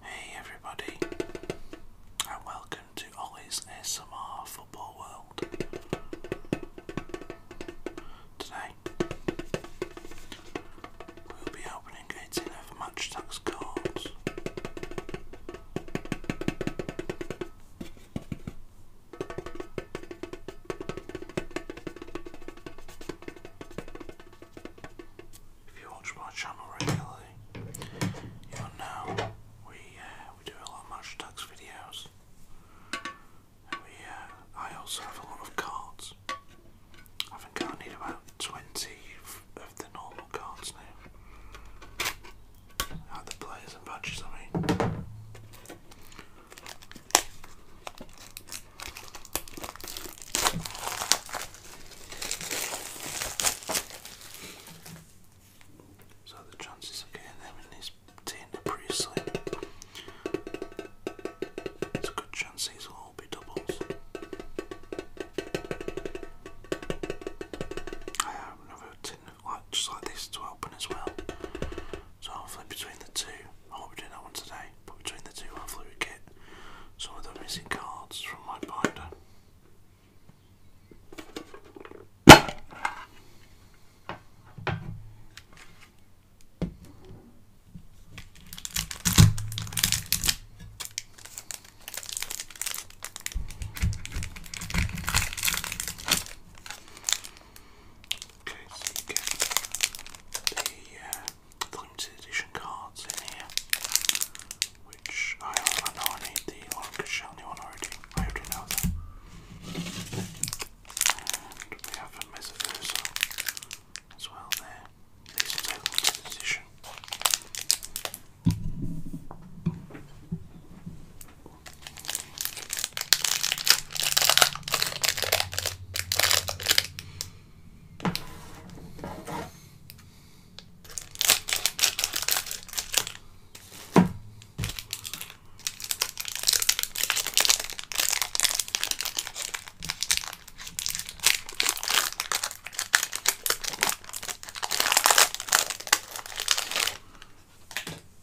Hey everybody, and welcome to Ollie's ASMR Football World. Today, we'll be opening 18 of match tax cards. If you watch my channel regularly, you'll know we uh, we do a lot of match tax videos. we uh, I also have a lot of cards. I think I need about twenty of the normal cards now. Like the players and badges, I mean. So the chances of getting them in this tin are It's a good chance these will all be doubles. I have another tin like just like this to open as well. So hopefully between the two, I hope we be doing that one today, but between the two hopefully we get some of the missing cards from my binder. Okay, so you the limited edition cards in here, which I, know I need the Orange Shiny one already. I already know that. we have a Mesoverso as well there. These are the limited edition.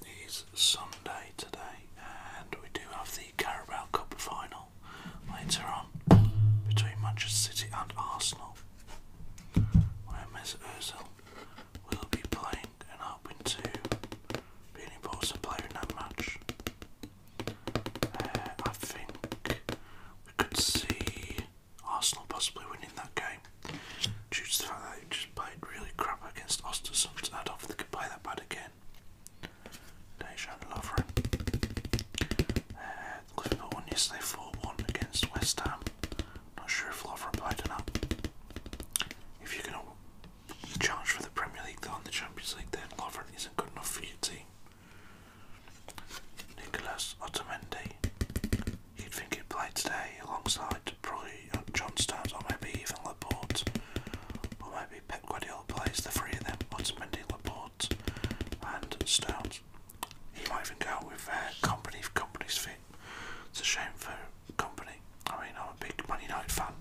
It is Sunday today, and we do have the Carabao Cup final later on between Manchester City and Arsenal, where Mesut Ozil will be playing and hoping to be an important player in that match. Uh, I think we could see Arsenal possibly winning that game due to the fact that they just played really crap against Ostersund I don't think they could play that bad again. Dejan Lovren. Uh, Liverpool won yesterday 4 1 against West Ham. Not sure if Laura replied or not. If you're going to challenge for the Premier League though the Champions League, then Lovren isn't good enough for your team. Nicolas Otamendi. You'd think he'd play today alongside probably John Stones or maybe even Laporte. Or maybe Pep Guardiola plays the three of them, Otamendi, Laporte and Stones. He might even go with uh, company if company's fit. It's a shame for company. I mean, I'm a big Man United fan,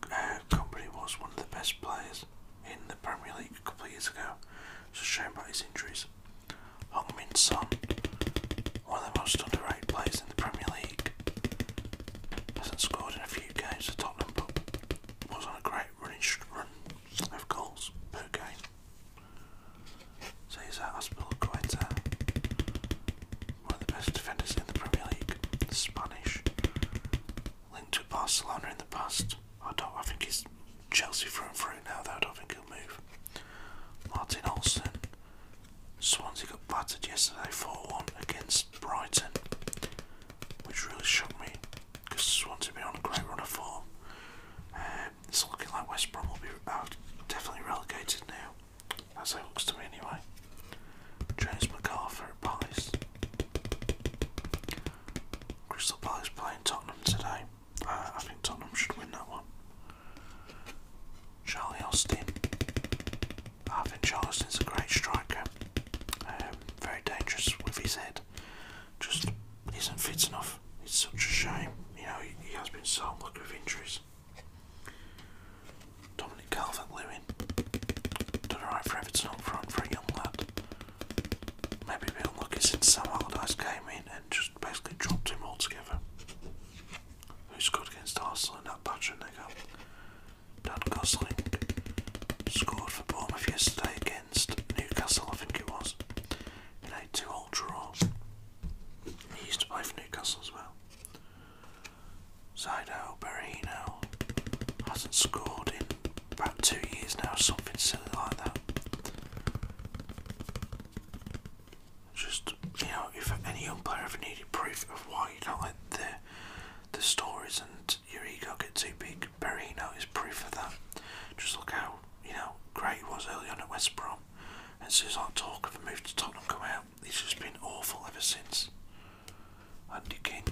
but uh, company was one of the best players in the Premier League a couple of years ago. It's a shame about his injuries. Hong Min Son, one of the most underrated players in the Premier League, hasn't scored in a few games for Tottenham, but was on a great running run of course, okay. So he's at Hospital Quetta, uh, one of the best defenders in the Premier League, Spanish, linked to Barcelona in the past. I don't, I think he's Chelsea through and through now though, I don't think he'll move. Martin Olsen, Swansea got battered yesterday 4-1 against Brighton, which really shocked me. Just wanted to be on a great run of form. Um, it's looking like West Brom will be definitely relegated now. That's how it looks to me anyway. James MacArthur at Palace. Crystal Palace playing Tottenham today. Uh, I think Tottenham should win that one. Charlie Austin. I think Charlie is a great striker. Um, very dangerous with his head just isn't fit enough. It's such a shame. You know, he, has been so lucky with injuries. Dominic Calvert-Lewin done alright for Everton up front for a young lad. Maybe a bit unlucky since Sam Allardyce came in and just basically dropped him altogether. Who scored against Arsenal in that batch and they got Gosling scored for Bournemouth yesterday again. Newcastle, I think it was. You know, two old draws. He used to play for Newcastle as well. Zaido, Berino hasn't scored in about two years now, something silly like that. Just, you know, if any young player ever needed proof of why you don't let the, the stories and your ego get too big. Perino is proof of that. Just look how you know great he was early on at West Brom, and since that talk of a move to Tottenham come out, he's just been awful ever since. Andy King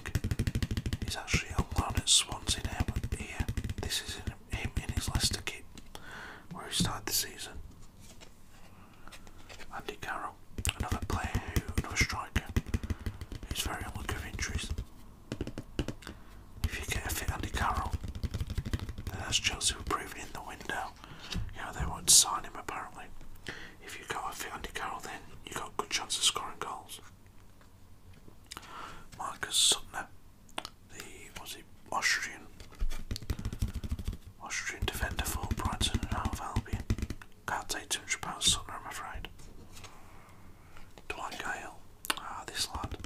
is actually on loan at Swansea now. here, this is him in his Leicester kit, where he started the season. Andy Carroll, another player another striker, who's very unlucky with injuries. If you get a fit under Carroll, that has Chelsea will in the window. You know, they won't sign him apparently. If you go a fit under Carroll, then you have got a good chance of scoring goals. Marcus Suttner, the was he Austrian Austrian defender for Brighton and Hove Albion. Can't take two hundred pounds Suttner, Sutner, I'm afraid. Dwight Gale. Ah, this lad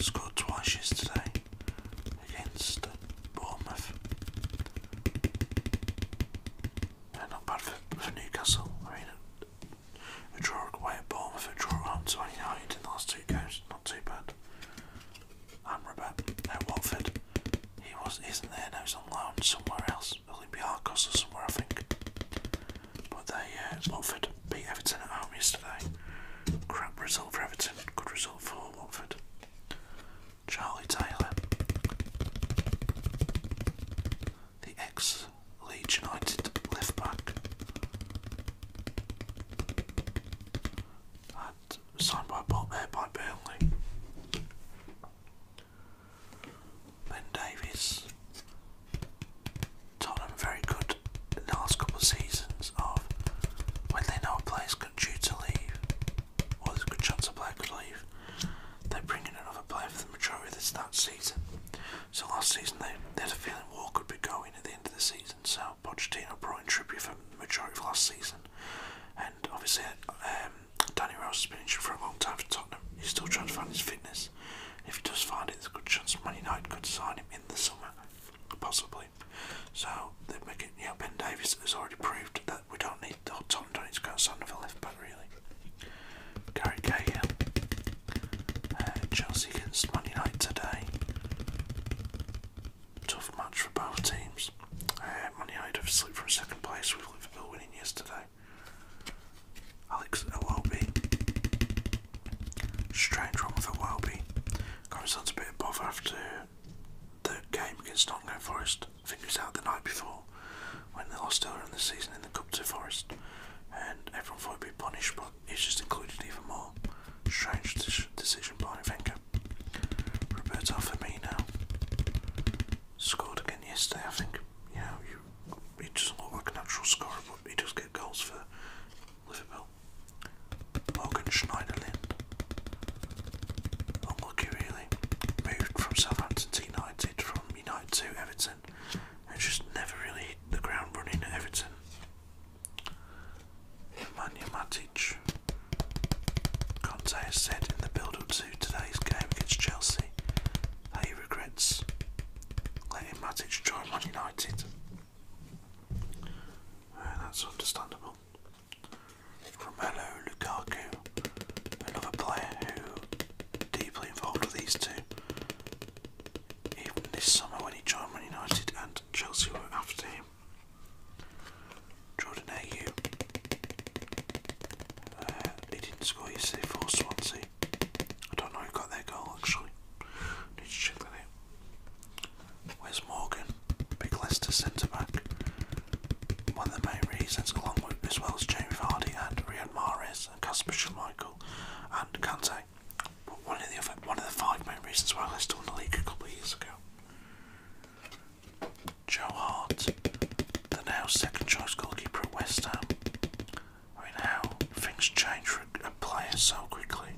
scored twice yesterday against Bournemouth. not bad for, for Newcastle. I mean, a, draw away at Bournemouth, a draw home to in the last two games. Not too bad. Amrabat at Watford. He was isn't there now. He's on loan somewhere else. Olympiacos somewhere, I think. But they, uh, Watford beat Everton at home yesterday. Crap result for Everton, good result for Watford. Charlie Taylor, the ex Leeds United left back, and signed by Bob there uh, by Burnley. Ben Davies, Tottenham very good last couple seasons of when they know a player's due to leave, or there's a good chance a player could leave, they bring in another player for the majority of this that season. So last season they, had a feeling War could be going at the end of the season, so Pochettino brought in Trippier for the majority of last season. And obviously um, Danny Rose has been injured for a long time for Tottenham. He's still trying to find his fitness. If he does find it, there's a good chance Man United could sign him in the summer, possibly. So they make it. You Ben Davies has already proved that we don't need. Or Tom don't need to go sign another left back really. Gary Cahill, uh, Chelsea against Man United today. Tough match for both teams. Uh, Man United have slipped from second place with Liverpool winning yesterday. Alex Awobi. Strange one with Awobi. Comes on a bit of bother after the game against Nottingham Forest. I out the night before when they lost earlier in the season in the Cup to Forest. And everyone thought he'd be punished, but he's just included even more. Strange decision by Wenger. me now. scored again yesterday, I think. You he doesn't look like an actual scorer, but he does get goals for Liverpool. Morgan Schneiderlin. Unlucky, really. Moved from Southampton to United, from United to Everton, and just never really hit the ground running at Everton. Manu Matic. Conte has said in the build up to today's game against Chelsea that he regrets letting Matic join Man United. that's understandable. Romelu, Lukaku, another player who deeply involved with these two. Even this summer when he joined Man United and Chelsea were after him. Jordan Ayew. Uh, he didn't score yesterday for Swansea. I don't know who got that goal actually. Need to check that Where's Morgan? Big Leicester centre back. One of the main reasons, along with as well as Jamie Vardy and Riyad Mahrez and Casper Schmeichel and Kante. one of the other, one of the five main reasons why Leicester won the league a couple of years ago. Joe Hart, the now second choice goalkeeper at West Ham, I mean, how things change for a player so quickly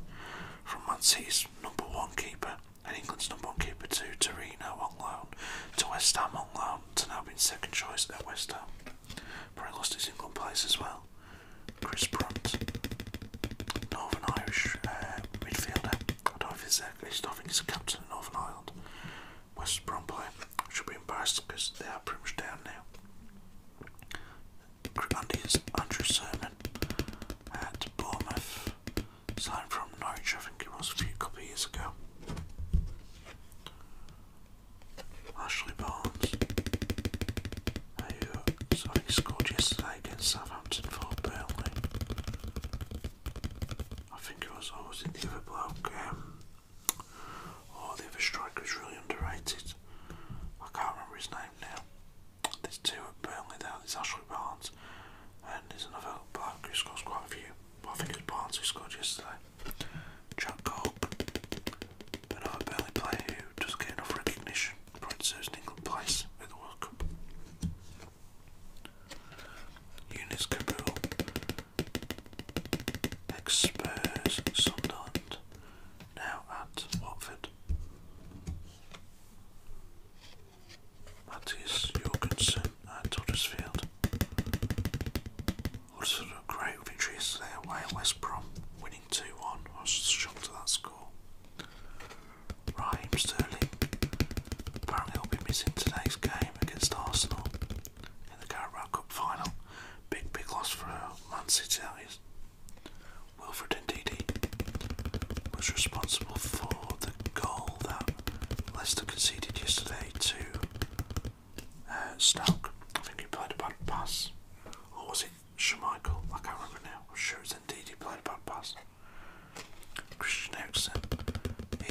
from Man number one keeper England's number one keeper to Reno on loan to West Ham on loan to now being second choice at West Ham. But he lost his England place as well. Chris Brunt, Northern Irish uh, midfielder. I don't know if he's, uh, I think he's a captain of Northern Ireland. West Brom player should be embarrassed because they are pretty much down now under Andrew Sermon at Bournemouth, signed from Norwich, I think it was a few couple of years ago. Ashley Barnes, who scored yesterday against Southampton for Burnley. I think it was always in the other bloke, um, oh, the other striker was really underrated. I can't remember his name now. There's two at Burnley there. There's Ashley Barnes, and there's another bloke who scores quite a few. But I think it was Barnes who scored yesterday. Chuck Cope, another Burnley player who doesn't get enough recognition for it England place with the World Cup. Eunice Kabul, ex Spurs, Sunderland, now at Watford. Matthias Jorgensen at Huddersfield. What a great victory yesterday away at West Brom, winning 2 1. I was shocked at that score. Raheem Sterling apparently will be missing today's game against Arsenal in the Carabao Cup final. Big, big loss for Man City, Wilfred Ndidi was responsible for the goal that Leicester conceded yesterday to uh, Stoke. I think he played a bad pass. Or was it Schmeichel? I can't remember now. I'm sure it's Ndidi played a bad pass. Christian Eriksen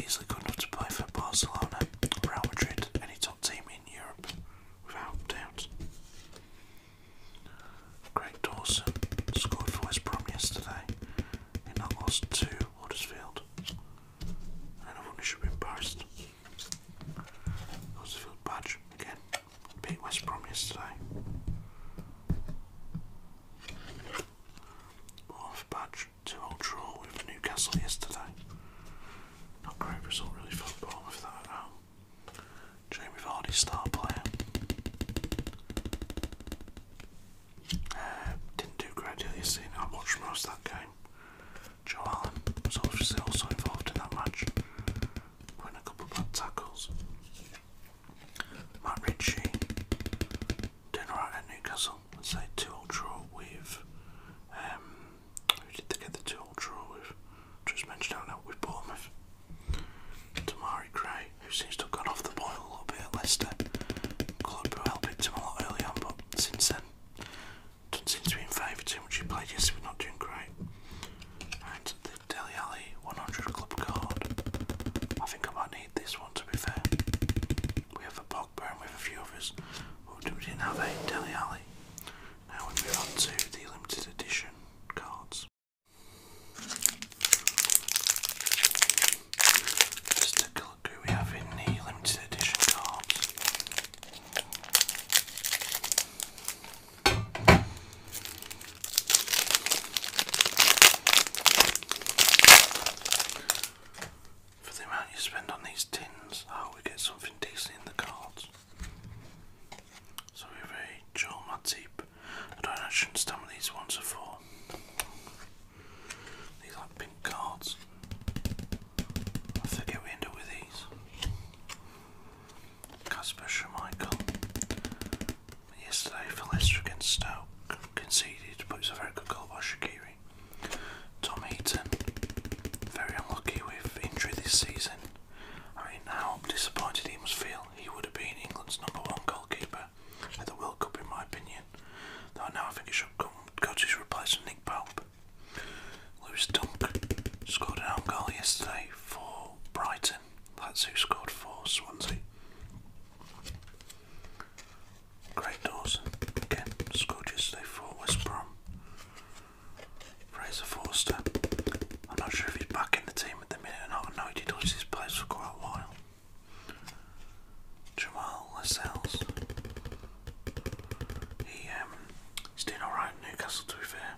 easily good enough to play for Barcelona, Real Madrid, any top team in Europe, without doubt. Greg Dawson scored for West Brom yesterday in that loss to Huddersfield. And everyone should be embarrassed. Huddersfield badge again. Beat West Brom yesterday. Bournemouth badge. Two all draw with Newcastle yesterday. Not great result really for Bournemouth that at um, Jamie Vardy star player. Uh, didn't do great deal this season. I watched most that game. Joe Allen was obviously also involved in that match. Went a couple of bad tackles. Matt Ritchie doing at Newcastle. say two old draw with um, who did they get the two old draw with? just mentioned out with Bournemouth. Tamari Gray, who seems to have gone off the boil a little bit at Leicester. Club who helped him a lot early on, but since then, doesn't seem to be in favour too much. He played yesterday, but not doing great. And the Deli Alley 100 Club card. I think I might need this one to be fair. We have a Pogba and we have a few others, but we didn't have a Deli Alley. Now we move on to the limited edition cards. take a look who we have in the limited edition cards. For the amount you spend on these tins, I hope we get something decent in the cards. So we have a Joel Matip. I don't actually understand what these ones are for. These are pink cards. I forget we ended up with these. Casper Schmeichel. Yesterday for Leicester against Stoke. Conceded, but it's a very good goal by Shakiri. Tom Eaton. Very unlucky with injury this season. I mean, how disappointed he must feel. He would have been England's number one goalkeeper at the World Cup, in my opinion. Though now I think he should come go to his replacement, Nick Pope. Lewis Dunk scored an own goal yesterday for Brighton. That's who scored for Swansea. Great Dawson again scored yesterday for West Brom. Fraser Forster. I'm not sure if he's back in the team at the minute or not. I know he did lose his place for quite a while. Jamal Lascelles. He, um, he's doing alright in Newcastle to be fair.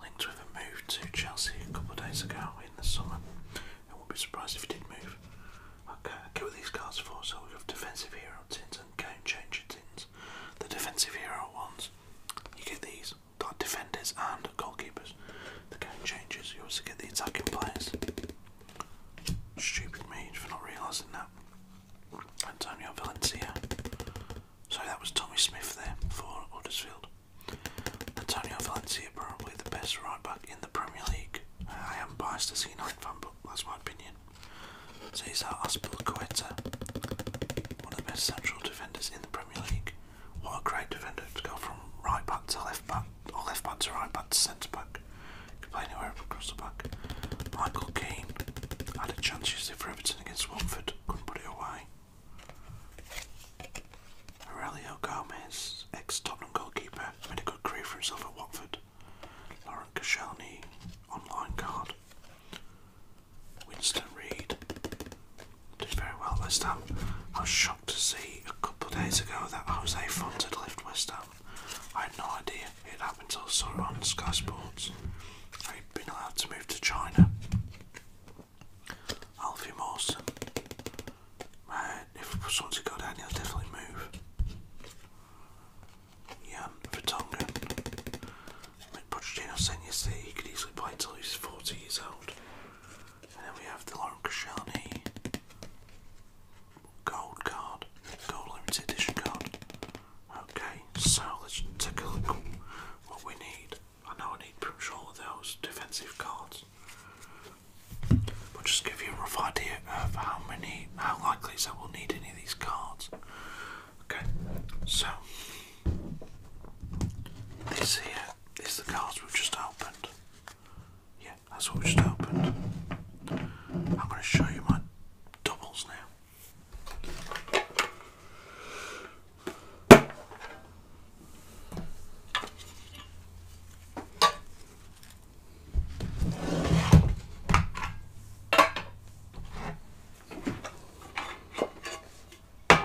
Linked with a move to Chelsea a couple of days ago in the summer. I wouldn't be surprised if he did move. Okay, I get what these cards are So we have defensive hero tins and game changer tins. The defensive hero ones, you get these defenders and goalkeepers. The game changes, you also get the attacking players. Stupid me for not realising that. Antonio Valencia. So that was Tommy Smith there for Huddersfield. Antonio Valencia, probably the best right back in the Premier League. I am biased to see United fan, but that's my opinion. Cesar Aspilicueta, one of the best central defenders in the Premier League. What a great defender to go from right back to left back, or left back to right back to centre back. Can play anywhere across the back. Michael Keane had a chance yesterday for Everton against Watford, couldn't put it away. Aurelio Gomez, ex Tottenham goalkeeper, made a good career for himself at Watford. Lauren Koscielny, online card. Winston Reed did very well West Ham. I was shocked to see a couple of days ago that Jose Font had left West Ham. I had no idea it happened until I saw it on Sky Sports. He'd been allowed to move to China. Alfie Mawson. Man, if it was someone to go down, he'll definitely move. Jan Vertonghen. Pochettino saying yesterday he could easily play until he's 40 years old. And then we have the Lauren Koscielny gold card, gold limited edition card. Okay, so let's take a look at what we need. I know I need pretty much all of those defensive cards. But just give you a rough idea of how many, how likely is that we'll need any of these cards. Okay, so this here is the cards we've just opened. Yeah, that's what we just opened. I'm going to show you my doubles now. Okay,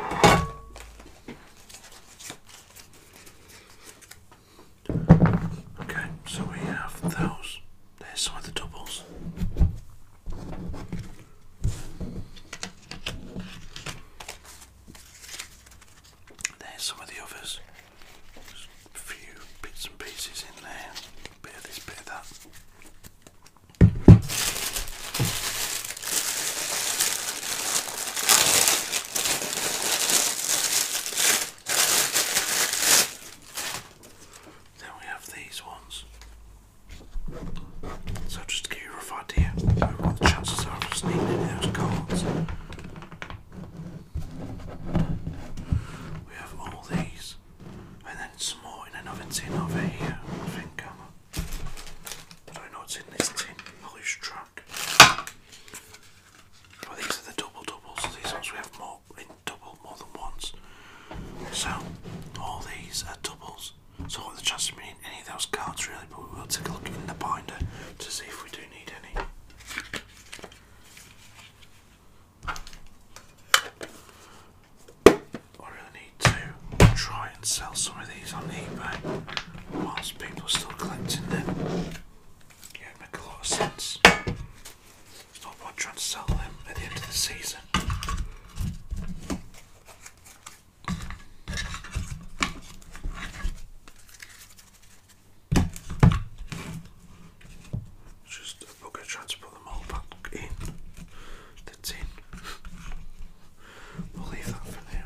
so we have those. There's some of the doubles. There's some of the others. Just a few bits and pieces in there. Bit of this, bit of that. Then we have these ones. So just to give you a rough idea of what the chances are of sneaking needing those cards. We have all these, and then some more in another tin over here, I think. I know it's in this tin, a loose track. these are the double doubles, so these ones we have more in double more than once. So all these are doubles. So what the chance of me any of those cards really, but we will take a look in the binder to see if we do need any. I really need to try and sell some of these on eBay whilst people are still collecting them. Yeah, it a lot of sense. It's trying to sell them at the end of the season. Just a bugger trying put them all back in that's in. we'll leave that for now.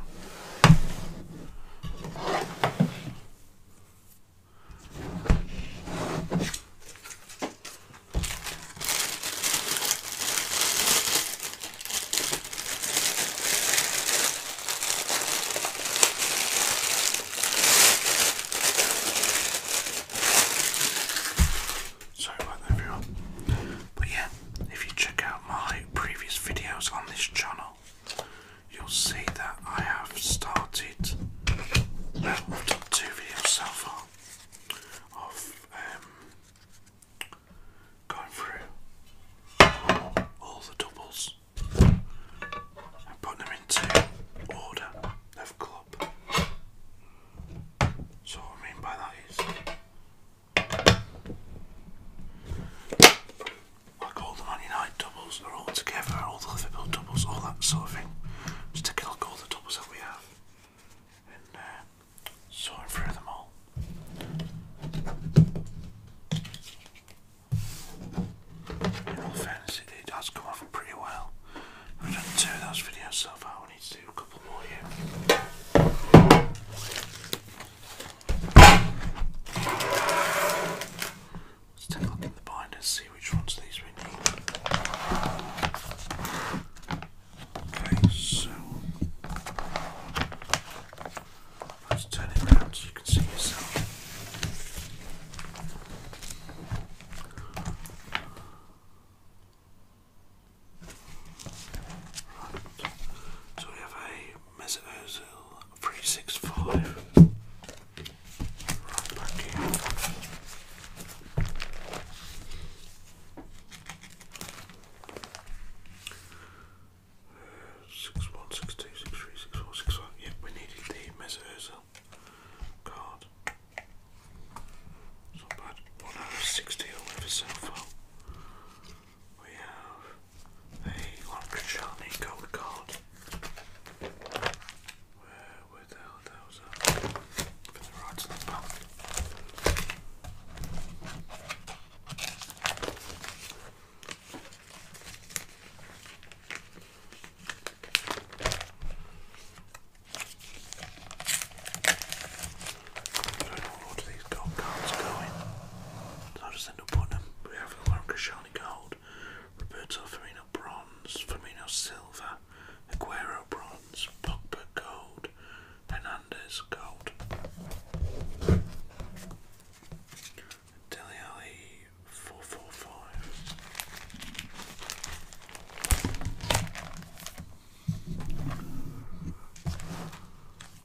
Sorry about that everyone. But yeah, if you check out my previous videos on this channel, you'll see that I have started, well, I've done two videos so far of um, going through all the doubles and putting them into order of club. So what I mean by that is like all the Man United doubles are all together, all the Liverpool doubles, all that sort of thing. Just taking all the doubles that we have and uh, through them all. In all fairness, it, it come off pretty well. We've done two of those videos so far, I need do a couple more here. Let's take a look at the binders, see which ones of these we need. Okay, so let's turn it around so you can see yourself. So we have a Mesut Ozil 365 right back here. Yep, we needed the Mesut card. It's bad. One out of sixty or whatever so far. We have a Long Shiny Gold Card. Where, where those uh, For the right slip up. I don't these gold cards going. So i just end up putting them. We have Lauren Koscielny gold, Roberto Firmino bronze, Firmino silver, Aguero bronze, Pogba gold, Hernandez gold. Deli 445.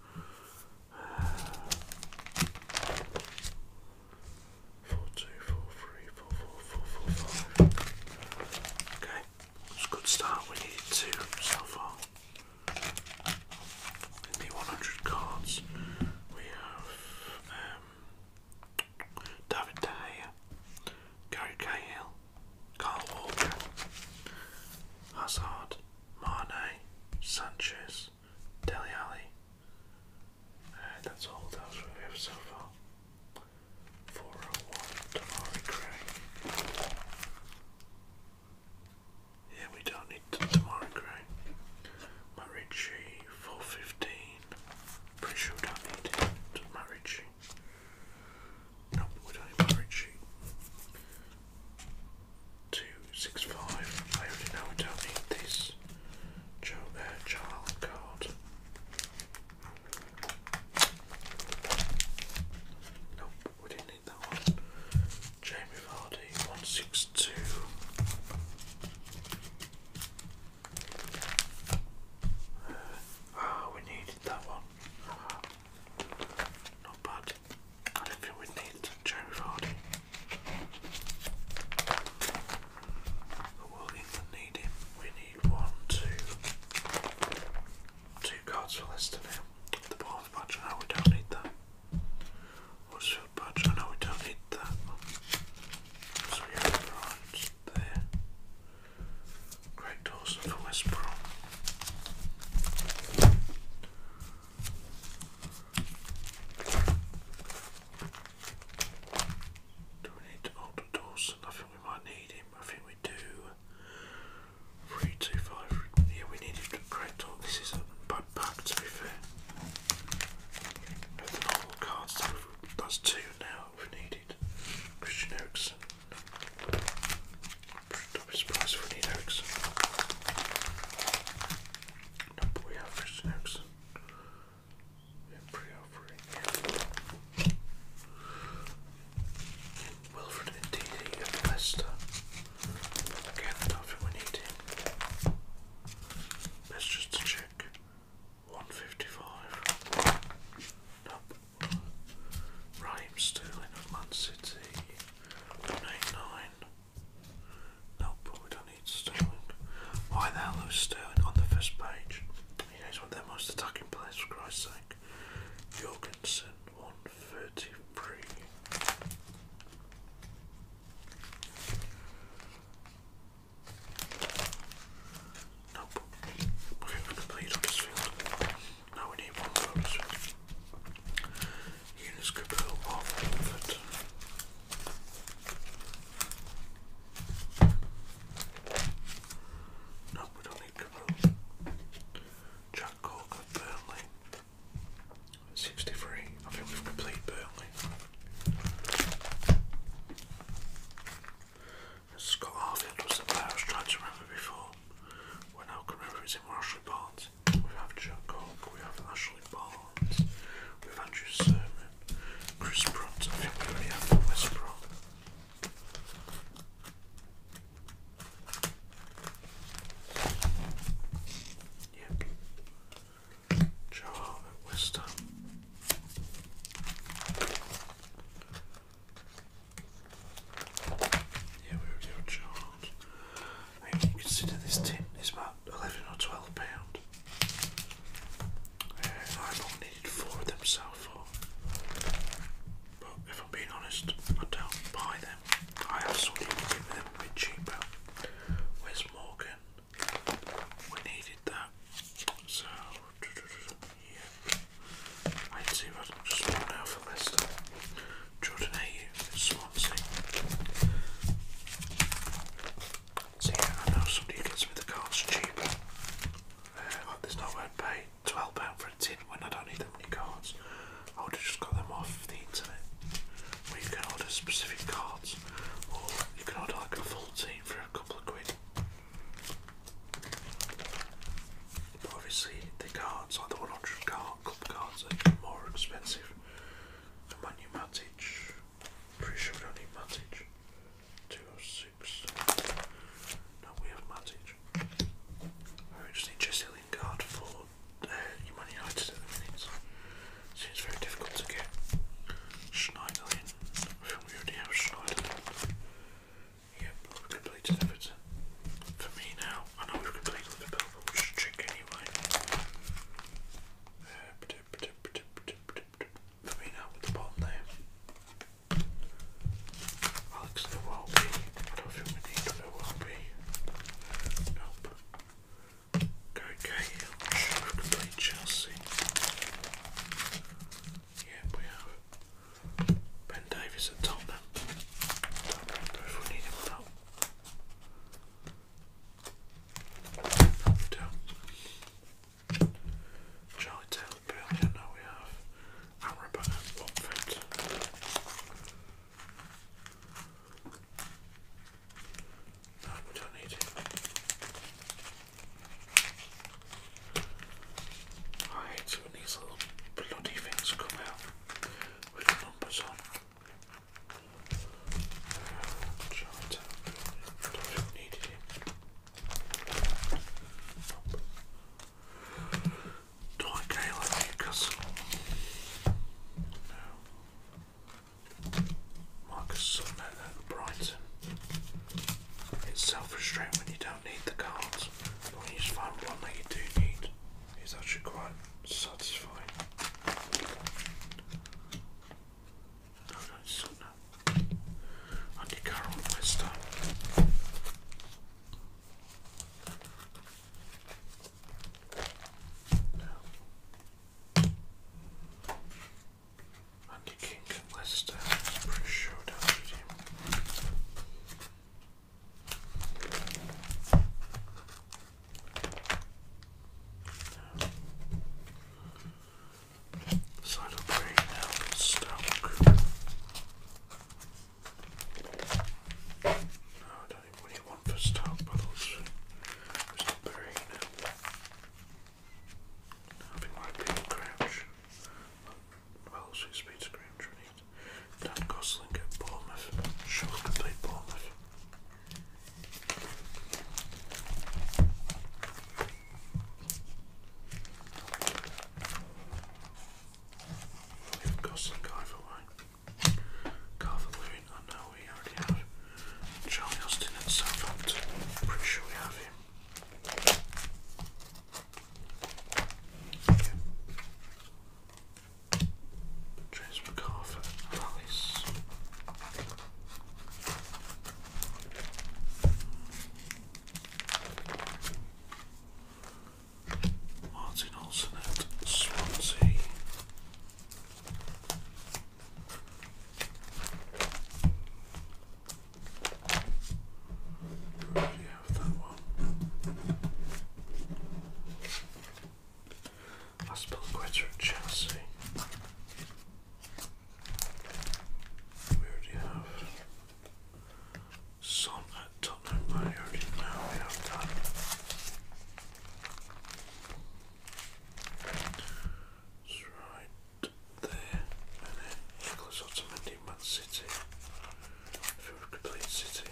Four, two, four, three, four, four, four, four, five. Okay, it's a good start. We needed two so far. In the 100 cards, we have um, David De Gary Cahill, Carl Walker, Hazard, Mane, Sanchez, Deli Alley. Uh, that's all we have so far. 401 Tamari Gray. Yeah, we don't need Tamari Gray. Marici, 415. Pretty sure we don't need it. Nope, we don't need a sheet. Two six five. I already know I don't need this. Joe uh, child card. Nope, we didn't need that one. Jamie Vardy, one six two. Uh, ah, we needed that one. Not bad. I don't think we need Jerry Vardy. But will England need him? We need one, two, two cards for Leicester now. The Bournemouth badge, I we don't need that. Westfield badge, I know we don't need that. So we have the right there. Greg Dawson for West Brom. Do we need older Dawson? I think we might need him. I think we do. 325. Yeah, we needed to correct all. This is a bad pack, to be fair. the normal cards, that's two now we needed. Christian don't be surprised if we need eggs. Nope, we have fish and eggs. We offering Wilfred and Didi and Leicester. Again, I we need him. Let's just check. 155. Nope. Rhyme Sterling of Man City eight, nine. Nope, we don't need Sterling. Why the hell is Sterling on the first page? He is one of their most attacking players, for Christ's sake. Jorgensen, 133. Nope. Now we need one more to set. Eunice No, we don't need Capel. Jack Cork Burnley. 63. I think we've completed Burnley. Scott Harfield was the player I was trying to remember before. When I can remember it's in Marshall Barnes we have Jack we have Ashley Barnes, we have Andrew Sermon, Chris Brunt, I think we only have from West Brom. Yep. Joe Hart West Ham. Yeah, we were doing Charles. I mean, you consider this tin is about 11 or 12 pound. Uh, I've only needed four of them so But if I'm being honest, I don't buy them. I have somebody them a bit cheaper. Where's Morgan? We needed that. So, yeah. I see what just run out for Leicester. Jordan Swansea. So I know somebody who gets me the cards cheaper. Uh, like oh, there's nowhere to pay £12 for a tin when I don't need that many cards. I would have just got them off the internet. Where you can order specific cards, or you can order like a full team for a couple of quid. obviously the cards, like the 100 card Club cards are more expensive. The Manu Matic. Pretty sure we don't need Matic. 206. No, we have Matic. I just need Jesse Lingard for uh, Man United at the minute. Seems very difficult to get. Schneiderlin. I think we already have Schneiderlin. Yep, completed everything. For me now, I know we've completed the we'll check anyway. Let me know with the bottom there. Alex, there will be. I don't think we need there will be. Nope. Go Cahill. Sure, we complete Chelsea. Yeah, we have Ben Davis at Tottenham. Don't remember if we need him or not. Charlie Taylor Burley, now we have Amrabat and Watford. No, we don't need it. I hate it when these little bloody things come out with the numbers on don't need it. Do I Gale and Newcastle? No. Marcus Brighton. It's self-restraint when you don't need the cards, but when you just find one that you do need. He's actually quite satisfying. No, no, it's not Andy Carroll, West Andy King Leicester. pretty sure that was him. So I don't bring down stock. No, don't even want for stock, but those. there's no burying now. Having my big crouch. Well, she's speed to Dan Gosling at Bournemouth. Sure could play Bournemouth. We've Gosling either way. I know we already have. Charlie Austin at Southampton. Pretty sure we have him. James McArthur, Alice. Martin Olsen at Swansea. do you have that one? Aspel Quetta at Chelsea. We already have Son at Tottenham. I already know we have that. It's right there. Nicholas Otamendi, Man City. If it were complete City.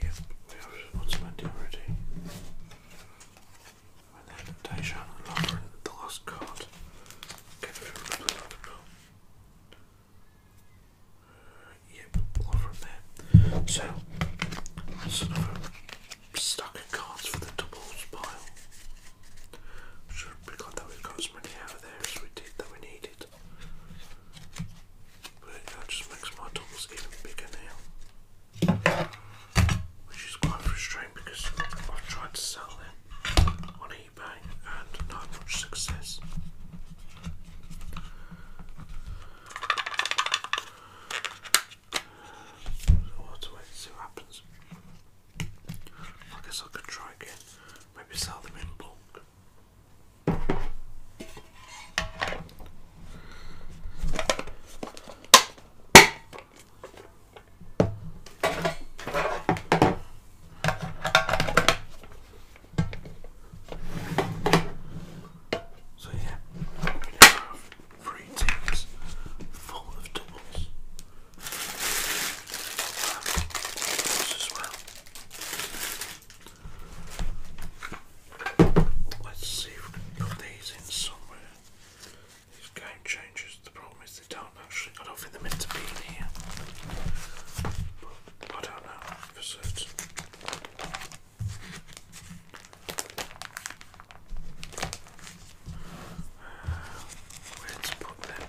Yep, we have one cemented already. And the last card. Uh, yep, So, that's another cards for the doubles pile. Should be glad that we got as many out there as we did that we needed. But it uh, just makes my tools even bigger now. Which is quite frustrating because i tried to sell them on eBay and not much success. So we'll see what happens. I guess I could try again. Maybe sell them in bulk. So yeah, we now have three tins full of doubles. Um, as well. Let's see if we can put these in somewhere. These game changes. the problem is they don't actually, I don't think they're meant to be in here. I don't know uh, where to put them?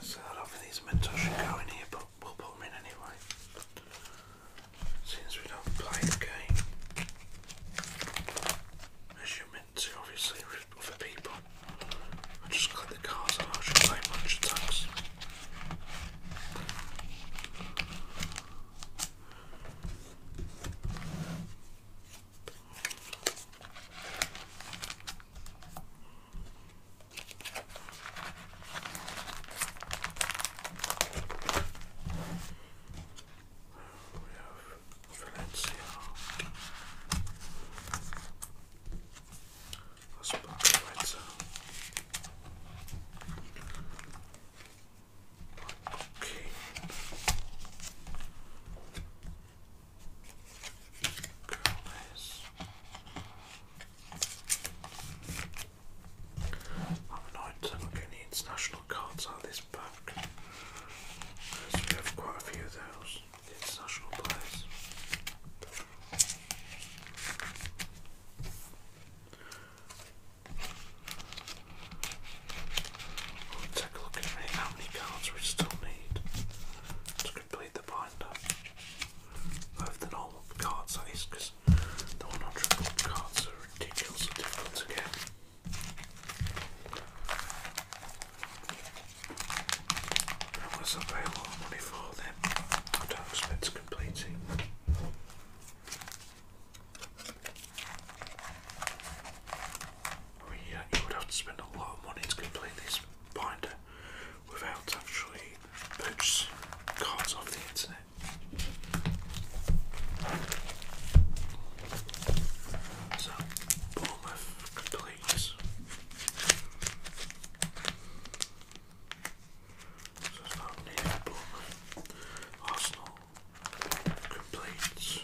So a these mentos should go in here, but we'll put them in anyway. Since we don't play the game, as you meant to, obviously, with other people. I just collect the cards I should play much attacks. We have Valencia. Let's put the lights out. I'm annoyed to international cards out of this pack. we have quite a few of those. international players. We'll take a look at how many cards we still need to complete the binder of the normal card size because the 100 gold cards are ridiculously difficult to get. Unless I pay a lot of money for them, I don't expect to complete it. I would have to spend a lot of money to complete this binder without actually purchasing cards off the internet. So, Bournemouth completes. So it's not near Arsenal completes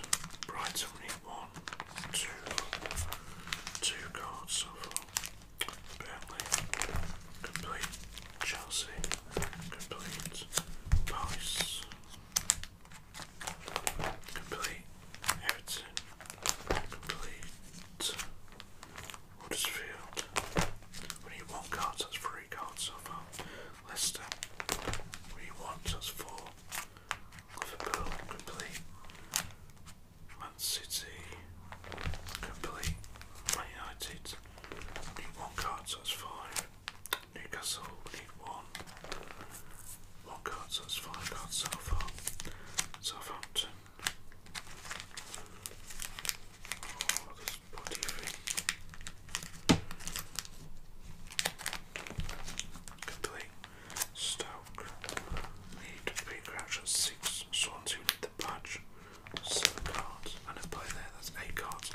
Brighton one, two, two cards complete Chelsea complete Palace complete Everton complete Huddersfield. We need one card, that's free three goals so far. Leicester, we want us four. Liverpool, complete. Man City, complete. Man United, need one card, so that's five. Newcastle, we need one. One card, so that's five cards so far. Southampton. Oh, this bloody thing. Complete. Stoke lead three crouches, six swans who need the badge, seven cards, and a player there, that's eight cards.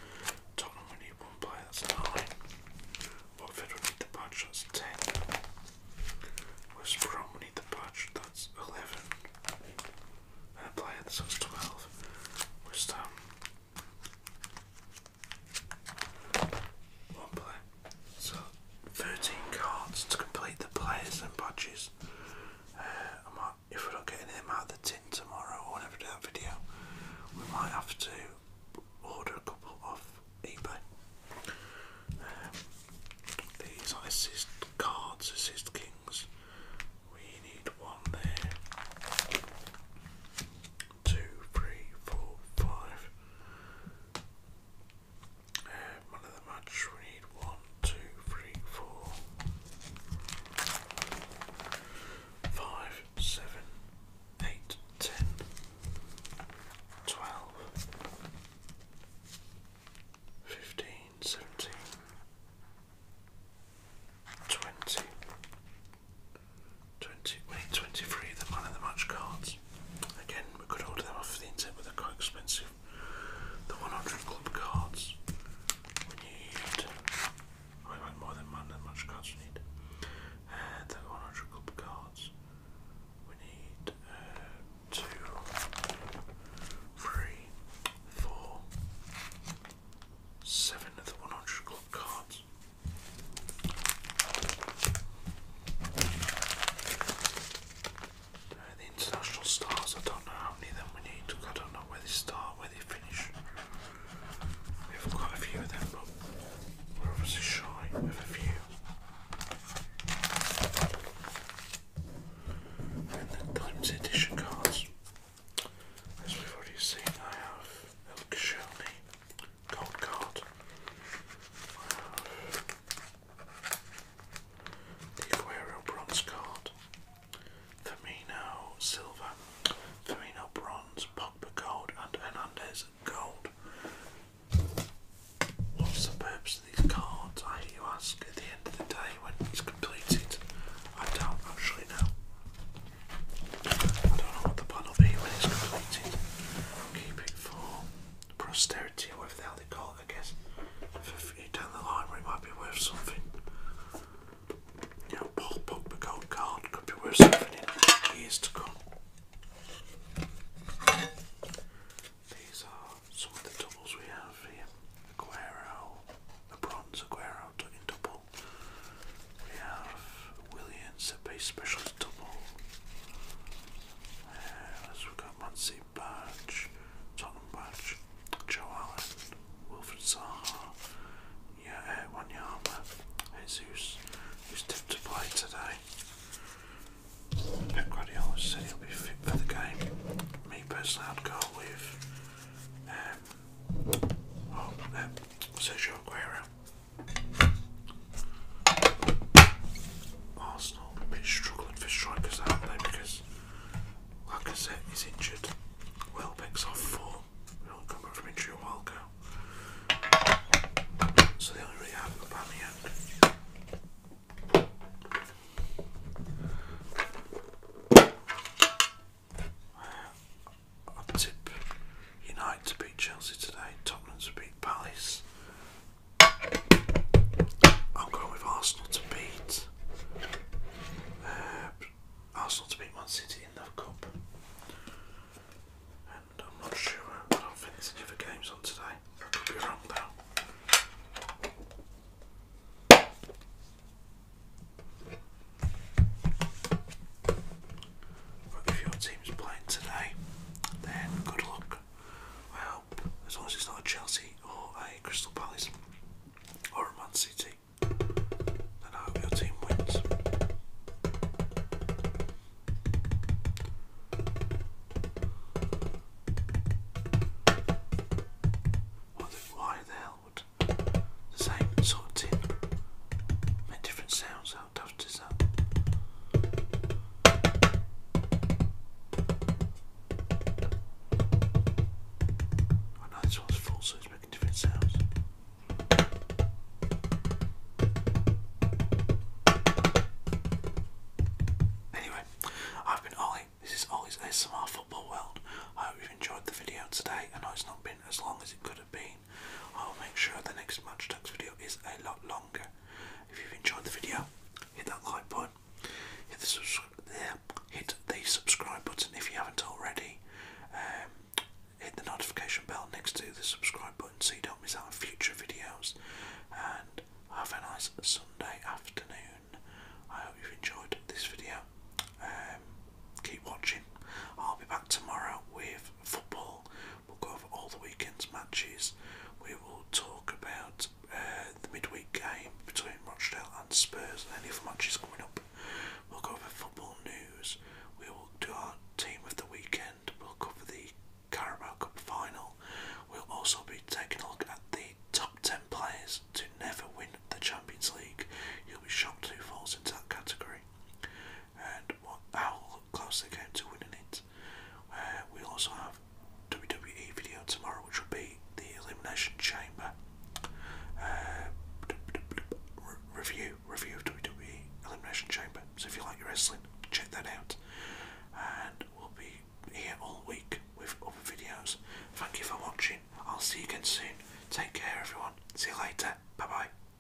Tottenham we need one player, that's nine. Watford we need the badge, that's ten. West Brom we need the badge, that's eleven. And a player, that's twelve. West Ham one play. So, 13 cards to complete the players and badges. Uh, I might, if we are not getting them out of the tin tomorrow or whenever I do that video, we might have to order a couple off eBay. Um, these assist cards, assist kings. We need one there two, three, four, five. Uh, of the match, we need one, two, three, four, five, seven, eight, ten, twelve, fifteen, seventeen. 20, wait, 23, the man of the match cards. Again, we could order them off the internet, but they're quite expensive. The 100 club cards. We need. Oh, we more than man of the match cards we need. Uh, the 100 club cards. We need uh, two, three, four, seven of the 100 club cards the international stars, I don't know how many of them we need, I don't know where they start, where they finish. We've got a few of them, but we're obviously shy with a few. And the limited edition cards. As we've already seen, I have El Kashani, gold card. The Aguero bronze card. Firmino silver. Firmino bronze. Pogba gold and Hernandez gold. What's the purpose of these cards? I hear you ask at the end of the day when it's completed. I don't actually know. I don't know what the pun will be when it's completed. Keep it for posterity, whatever they call it, I guess. If you down the line where it might be worth something. You know, Paul Pogba gold card could be worth something in years to come. These are some of the doubles we have here. Aguero, a bronze Aguero in double. We have Williams at special double. we've got Muncie Tottenham Badge, Joe Allen, Zaha, yeah, uh, Jesus, who's tipped to play today. Pep Guardiola said he'll be fit for the game. Me personally, I'd go with um, um, Sergio Aguero. Arsenal a bit struggling for strikers, aren't they? Because Lacazette is injured. Welbeck's off form. We only come back from injury a while ago. So they only really have Aubameyang. I'll tip United to beat Chelsea today, Tottenham to beat Palace. I'm going with Arsenal to beat. Uh, Arsenal to beat Man City in the Cup. I'm not sure, I don't think there's any other games on today. I could be wrong though. But if your team's playing today, then good luck. I hope, as long as it's not a Chelsea or a Crystal Palace or a Man City, then I hope your team wins. why the hell would the same sort of tin make different sounds I know this one's full, so it's making different sounds. Anyway, I've been Ollie. This is Ollie's ASMR Football World. I hope you've enjoyed the video today. I know it's not been as long as it could have been, I'll make sure the next Munch Ducks video is a lot longer. If you've enjoyed the video, hit that like button, hit the, subscribe button if you haven't already, um, hit the notification bell next to the subscribe button so you don't miss out on future videos, and have a nice Sunday afternoon. I hope you've enjoyed this video. Um, keep watching. I'll be back tomorrow with football. We'll go over all the weekend's matches. We will talk about uh, the midweek game between Rochdale and Spurs and any other matches coming up. We'll go over football news. We will do our team of the weekend. We'll cover the Carabao Cup final. We'll also be taking a look at the top 10 players to never win the Champions League. You'll be shocked who falls into that category and what, how close they came to winning it. Uh, we also have WWE video tomorrow, which will be the Elimination Chamber uh, review review of WWE Elimination Chamber. So if you like your wrestling, check that out. And we'll be here all week with other videos. Thank you for watching. I'll see you again soon. Take care, everyone. See you later. Bye bye.